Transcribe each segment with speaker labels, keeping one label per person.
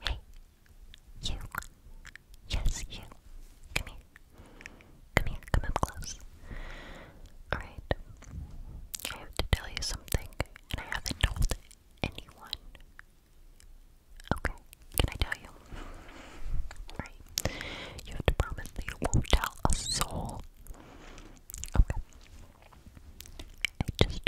Speaker 1: Hey, you. Yes, you. Come here. Come here. Come up close. Alright. I have to tell you something, and I haven't told anyone. Okay, can I tell you? Alright. You have to promise that you won't tell a soul. Okay. I just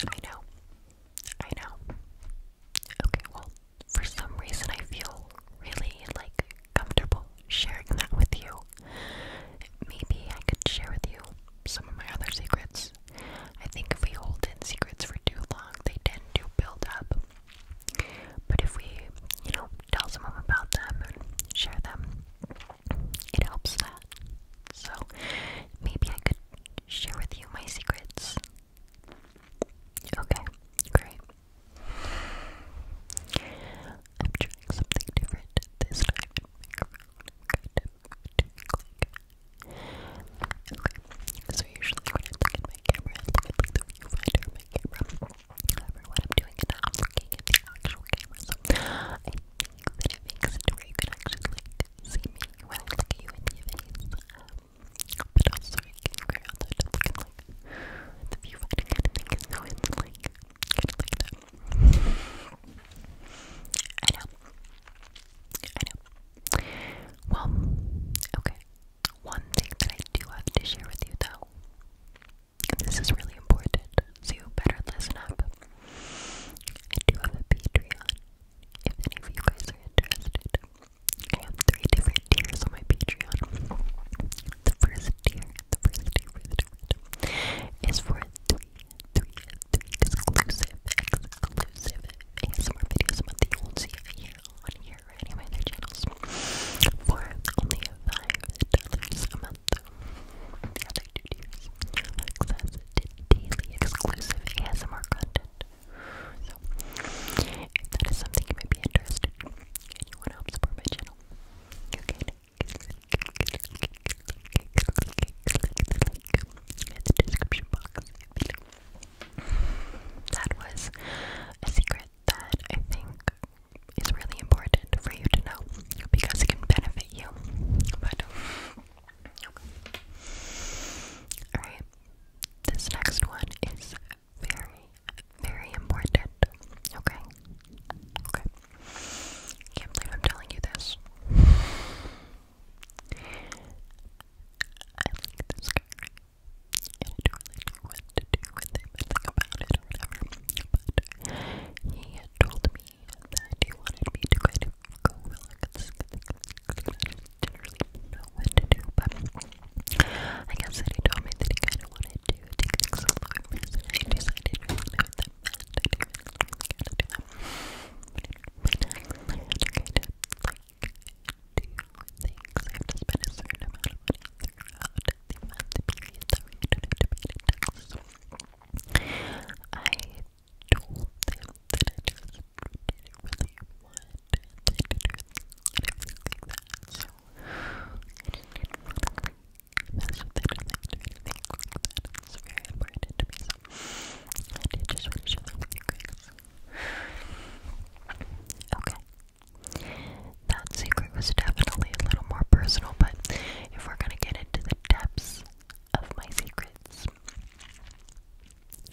Speaker 1: I know. I know. Okay, well, for some reason I feel really, like, comfortable sharing that with you. Maybe I could share with you some of my other secrets. I think if we hold in secrets for too long, they tend to build up but if we, you know, tell someone about them and share them, it helps that. So maybe I could share with you my secrets. Okay, great. I'm trying something different this time. Okay, so usually when camera the viewfinder camera. However, I'm doing is i looking at the actual camera, so I think that it makes it where you can actually like see me when I look at you in your but also, you can figure out that it's like the viewfinder kind of thing, like I know. I know. Well, okay. One thing that I do have to share with you though, this is really important, so you better listen up. I do have a Patreon, if any of you guys are interested. I have three different tiers on my Patreon. The first tier, the first tier, first tier, is for three, three, three exclusive, exclusive ASMR videos a month that you won't see here on here or any other channels for only $5 a month. The other two tiers access to daily exclusive ASMR content. So, if that is something you might be interested in you want to help support my channel, you the description box That was a secret that I think is really important for you to know because it can benefit you. But Alright. This next one is very, very important. Okay. Okay. Can't believe I'm telling you this and I don't really know what to do with him and think about it or whatever, but he had told me that he wanted me to kind of go relax, because I didn't really know what to do, but I guess that he told me that he kind of wanted to take things a little bit more, and I decided I didn't really know what that meant, I didn't really know how to do that, but I had to kind of, like, things. I have to spend a certain amount of money throughout the month period. Sorry, you don't to pay the taxes. I told them that I just didn't really want to anything like that. So I just not want to mess with their lives or anything like that. It's I just want to share that with Okay, that secret was definitely a little more personal, but if we're gonna get into the depths of my secrets,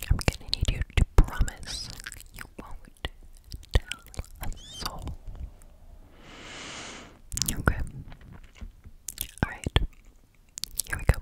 Speaker 1: I'm gonna need you to promise you won't tell a soul. Okay. Alright. Here we go.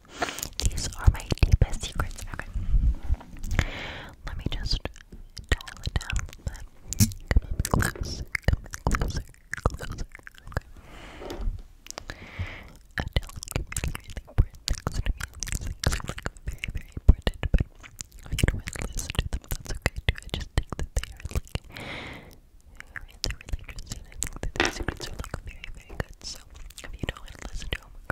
Speaker 1: These are my deepest secrets. Okay. Let me just dial it down closer, come closer, closer. Okay. I tell you really, really important things to me. These things are like very, very important, if you don't want to listen to them, that's okay too. I just think that they are like they're really interesting. I think that these secrets are like very, very good. So if you don't want to listen to them,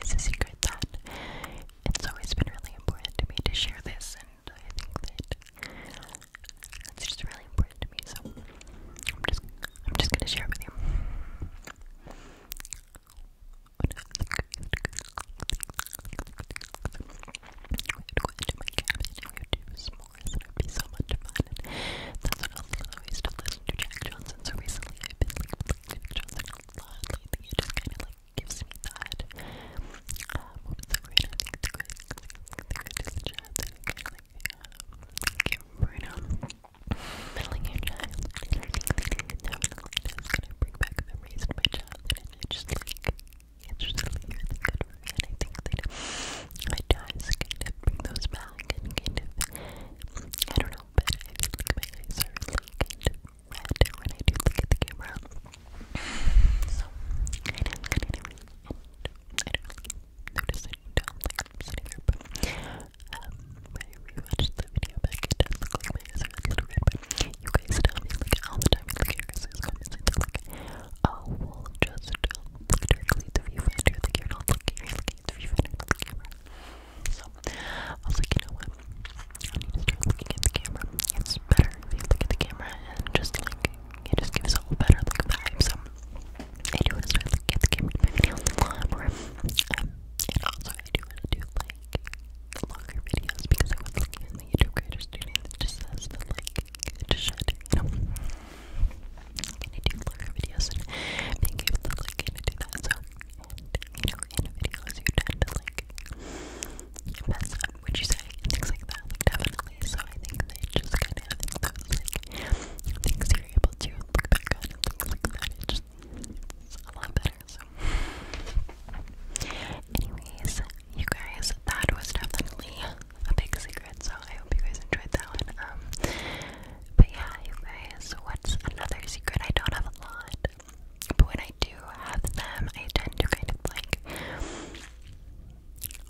Speaker 1: It's a secret that it's always been really important to me to share this, and I think that it's just really important to me. So I'm just, I'm just gonna share with you. would go do s'mores, it would be so much fun. that's what I always used to to Jack Johnson. So recently, I've been like, it just kind of like gives me that. Um, so great, I think the greatest child that kind of like, um, give right now. Meddling your child, and I think that it just kind of bring back memories of my childhood, and it just like, it's just really, really good for me, and I think that it does bring those back, and kind of, I don't know little I feel look at the camera. So, I don't kind I don't really down like I'm sitting there, but um, I rewatched the video back, it does look like my eyes are a you guys tell me like all the time, like your guys' comments, and they're like, oh, well, just look directly at the viewfinder, like you're not looking, you're looking things if you've been the camera. So, I was like, you know what? I need to start looking at the camera. It's better if you look at the camera and just like, it just gives a whole better like vibe. So, I do want to start at the camera in um, and also I do want to do like longer videos because I was looking at the YouTube creator studio that just says that like, it just should, you know? i do longer videos and make you look like I'm do that, so you know, in videos you tend to like mess up what you say things like that, like definitely. So I think that just kind of those like things you're able to look back on and things like just a lot better. So, anyways, you guys, that was definitely a big secret. So I hope you guys enjoyed that one. Um, but yeah, you guys, what's another secret? I don't have a lot. But when I do have them, I tend to kind of like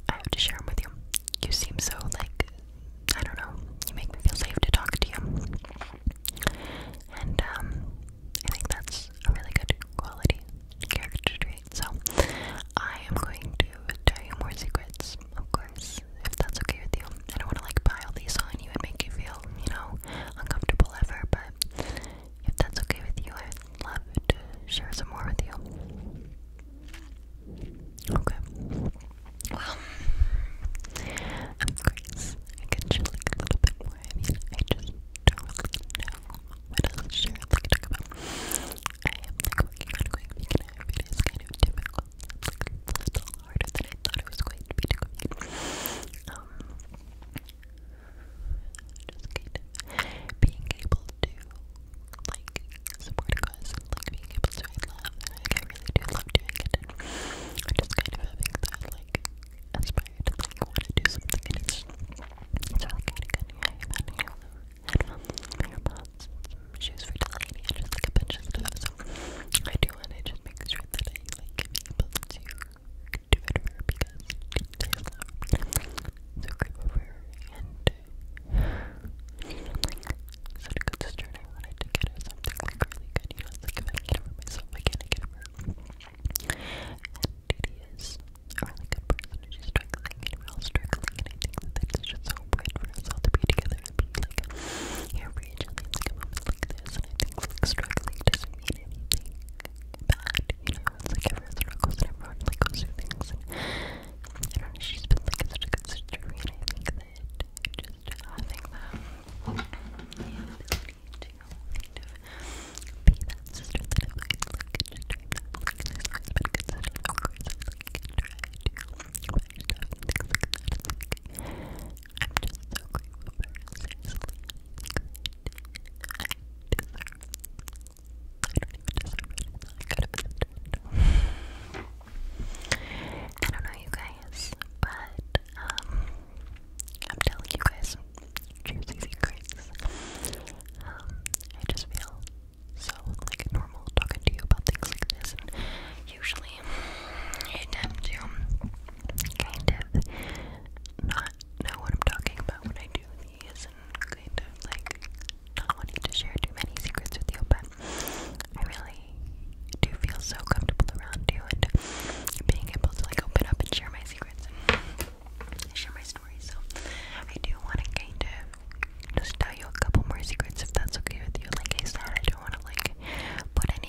Speaker 1: I have to share them with you. You seem so like I don't know, you make me feel safe to talk to you. And um I think that's a really good quality character trait. So I am going to tell you more secrets, of course, if that's okay with you. I don't want to like pile these on you and make you feel you know, uncomfortable ever, but if that's okay with you, I'd love to share some more with you. Okay. Well, I'm Grace. I can share a little bit more. I mean, I just don't really know what else to share. Like, talk about. I am like working on going vegan. it's kind of difficult. It's a little harder than I thought it was going to be to go vegan. Um, just kind of being able to, like, support a like, being able to, I love, I really do love doing it, and just kind of having that, like, aspire to, like, want to do something, and it's, it's really kind of good, yeah, shoes for Delaney, just, like, a bunch of stuff, so I do just make sure that I like am able to do it for her because so good over and you such a good sister I wanted to get something really good, you know, it's like can get over myself, I can't get over her. a person and she's struggling and we struggling and I think that it's just so important for us all to be together be like here for each other. It's like like this I like struggling doesn't mean anything bad, you know, it's like everyone struggles and everyone like goes through things I don't know, she's been like such a good sister and I think that just having them the ability be that sister that I like, like just dream of like I'm just so grateful for her, seriously. I deserve, I don't even deserve it, I could have been I don't know you guys, but, um, I'm telling you guys juicy secrets. Um, I just feel so, like, normal talking to you about things like this, and usually I tend to kind of not know what I'm talking about when I do these and kind of like not wanting to share too many secrets with you, but I really do feel so comfortable around you and being able to like open up and share my secrets and share my stories. So I do want to kind of just tell you a couple more secrets if that's okay with you. Like I said, I don't want to like put any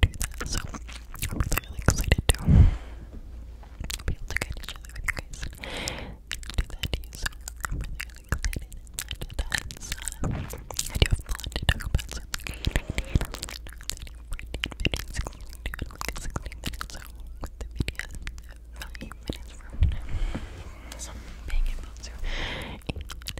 Speaker 1: do that. So I'm really, excited to be able to get each other with you guys do that So I'm really, really excited. And that's, uh, I do have to talk about. So it's like 18, 19, 19, like 16 minutes. So with the video, 9 minutes from now. So i to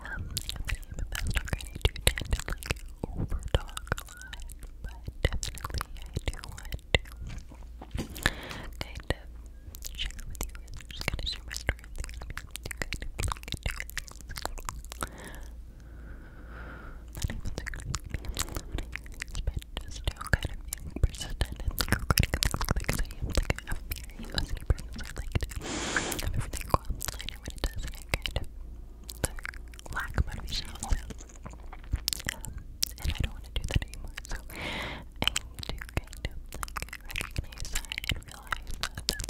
Speaker 1: um, the name of that I to tend to like over talk a but definitely I do want to kind of share with you. I'm just gonna share my story with you. Kind of look into it. Not even the but just still kind of being persistent and like regretting things because I am like a very OCD person, so I like to have everything go online and when it does, and I good. lack of motivation a little um, and I don't want to do that anymore, so I need to kind of like recognize I don't know. I think so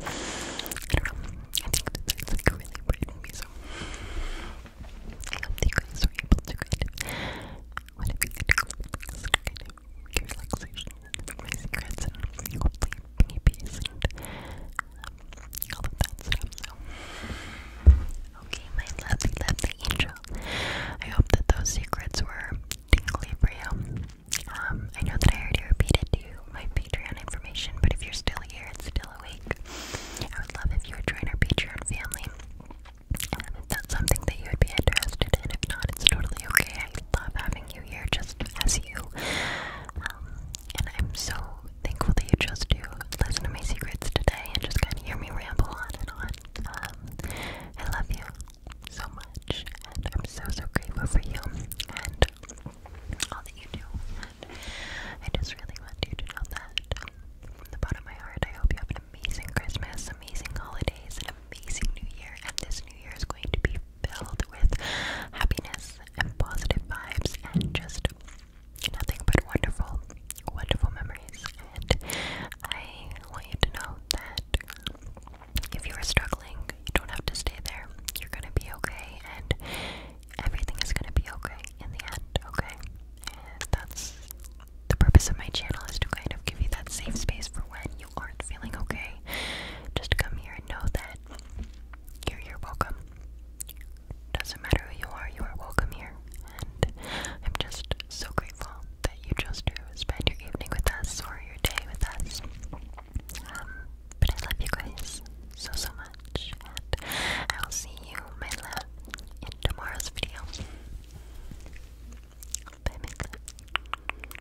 Speaker 1: I hope you guys were able to kind of whatever you do, kind relaxation and my secrets and hopefully babies and um, all of that stuff. okay, my lovely, lovely angel. I hope that those secrets were tingly for you. Um, I know that I already repeated to you my Patreon information, but if you're still here and still awake, I would love if you would join our Patreon family. Um, if that's something that you would be interested in, if not, it's totally okay. I love having having you just as you. Um, and I'm so thankful that you chose to listen to my secrets today and just kind of hear me ramble on and on. Um, I love you so much, and I'm so, so grateful for you and all that you do. And I just really want you to know that um, from the bottom of my heart, I hope you have an amazing Christmas, amazing holidays, and amazing New Year. And this New Year is going to be filled with happiness and positive vibes and just nothing but wonderful, wonderful memories. And I want you to know that if you are struggling, you don't have to stay there. You're gonna be okay, and everything is gonna be okay in the end, okay? And that's the purpose of my channel is to kind of give you that safe space for when you aren't feeling okay, just come here and know that you're, welcome. Doesn't matter who you are, you are welcome here. And I'm just so grateful that you chose to spend your evening with us or your day with us. Um, but I love you guys so, so much. And I will see you, my love, in tomorrow's video. Bye, my love.